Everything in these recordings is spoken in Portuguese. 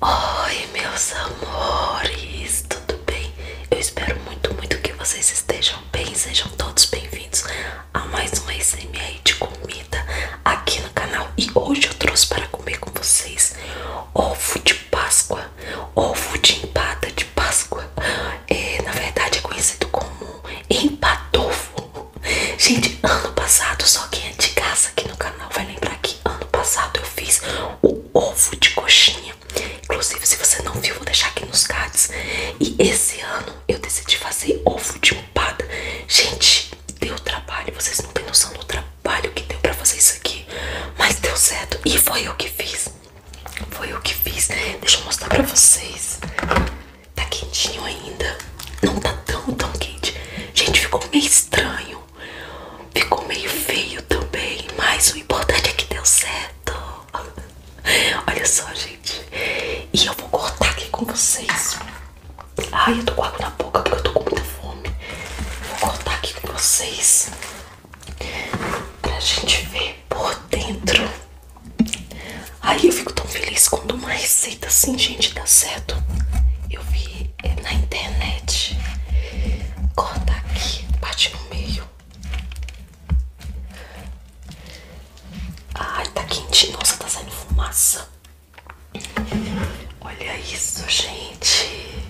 Oi meus amores, tudo bem? Eu espero muito, muito que vocês estejam bem, sejam todos bem-vindos a mais uma ASMR de comida aqui no canal E hoje eu trouxe para comer com vocês ovo de páscoa, ovo de empada de páscoa é, Na verdade é conhecido como empadofo Gente, ano passado só quem é de casa aqui no canal vai lembrar que ano passado eu fiz o ovo de coxinha. Inclusive, se você não viu, vou deixar aqui nos cards. E esse ano eu decidi fazer ovo de empada. Gente, deu trabalho. Vocês não têm noção do trabalho que deu pra fazer isso aqui. Mas deu certo. E foi eu que fiz. Foi eu que fiz. Deixa eu mostrar pra vocês. Tá quentinho ainda. Não tá tão, tão quente. Gente, ficou meio estranho. Ficou meio feio também, mas o importante é que deu certo. Olha só, gente. E eu vou cortar aqui com vocês. Ai, eu tô com água na boca porque eu tô com muita fome. Vou cortar aqui com vocês pra gente ver por dentro. Ai, eu fico tão feliz quando uma receita assim, gente, dá certo. Eu vi é na internet. Corta aqui, bate no meio. Ai, tá quente Nossa, tá saindo fumaça. Olha isso, gente.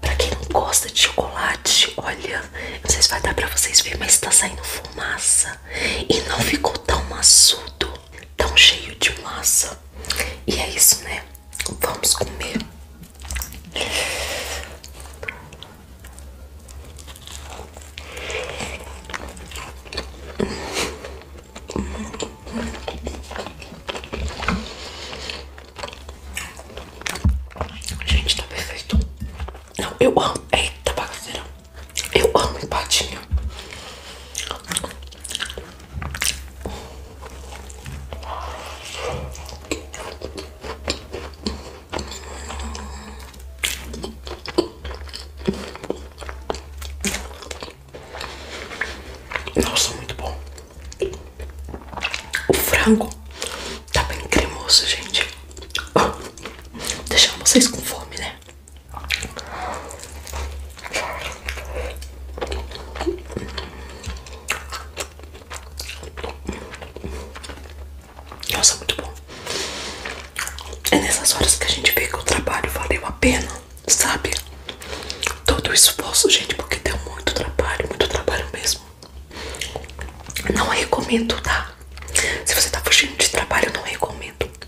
Pra quem não gosta de chocolate, olha. Não sei se vai dar pra vocês ver mas tá saindo fumaça. E não ficou tão maçudo tão cheio de massa. E é isso, né? Vamos comer. Gente, tá perfeito. Não, eu amo. Eita, bagaceira. Eu amo empadinha. Nossa, muito bom. O frango tá bem cremoso, gente. Deixando vocês com fome, né? Nossa, muito bom. É nessas horas que a gente vê que o trabalho valeu a pena, sabe? Todo o esforço, gente, porque deu muito trabalho, muito trabalho mesmo. Não recomendo, tá? Se você tá fugindo de trabalho, eu não recomendo.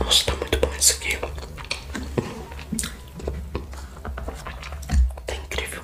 Nossa, tá muito bom esse aqui. Tá incrível.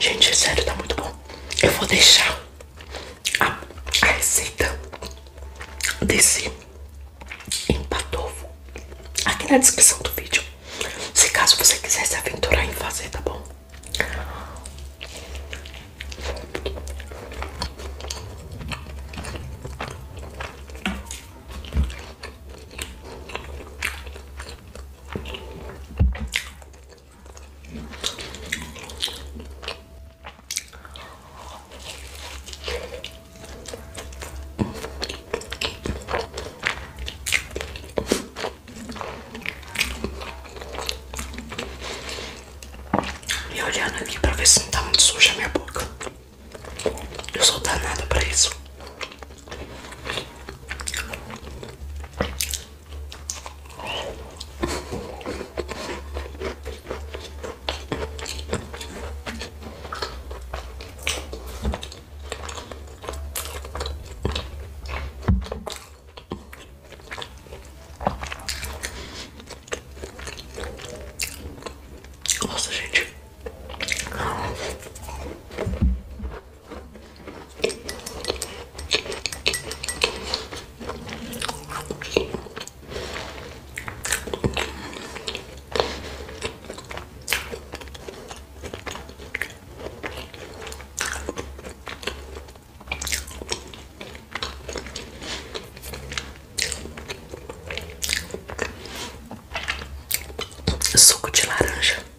Gente, sério, tá muito bom. Eu vou deixar a, receita desse empatovo aqui na descrição do vídeo. Se caso você quisesse se aventurar em fazer, tá bom? E olhando aqui para ver se não tá muito suja a minha boca. Eu sou danada para isso. Nossa, gente. Suco de laranja.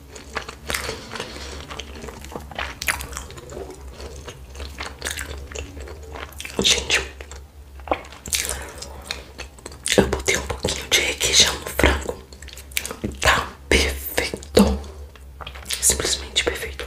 Gente, eu botei um pouquinho de requeijão no frango. Tá perfeito. Simplesmente perfeito.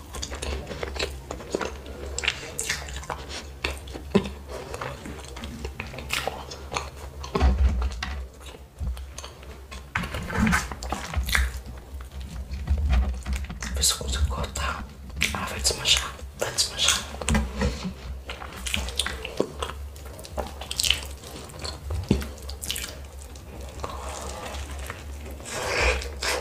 Ver se eu consigo cortar. Ah, vai desmanchar. Vai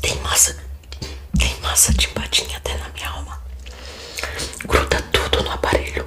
Tem massa, tem massa de empadinha até na minha alma. Gruda tudo no aparelho.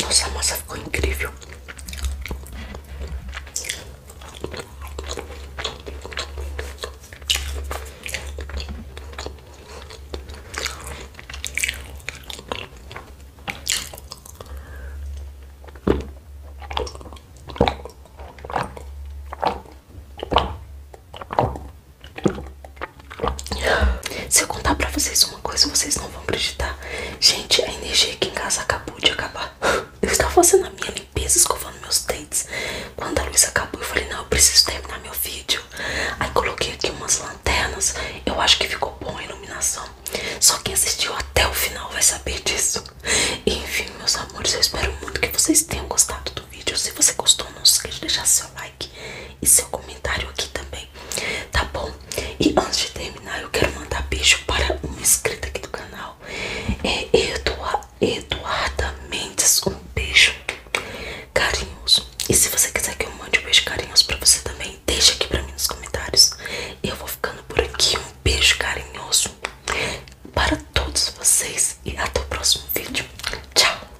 Nossa, massa ficou incrível. Se eu contar pra vocês uma coisa, vocês não vão acreditar. Gente, a energia aqui em casa acabou de acabar. Eu estava fazendo a minha limpeza, escovando meus dentes. Quando a luz acabou, eu falei, não, eu preciso terminar meu vídeo. Aí coloquei aqui umas lanternas. Eu acho que ficou bom a iluminação. Só quem assistiu até o final vai saber disso. enfim, meus amores, eu espero muito que vocês tenham gostado do vídeo. Se você gostou, não se esqueça de deixar seu like e seu comentário aqui também, tá bom? E antes de terminar, eu quero mandar beijo para uma inscrita aqui do canal, é Eduard, Eduarda Mendes. Um beijo carinhoso. E se você quiser que eu mande um beijo carinhoso para você também, deixa aqui para mim nos comentários. Eu vou ficando por aqui. Um beijo carinhoso para todos vocês e até o próximo vídeo. Tchau!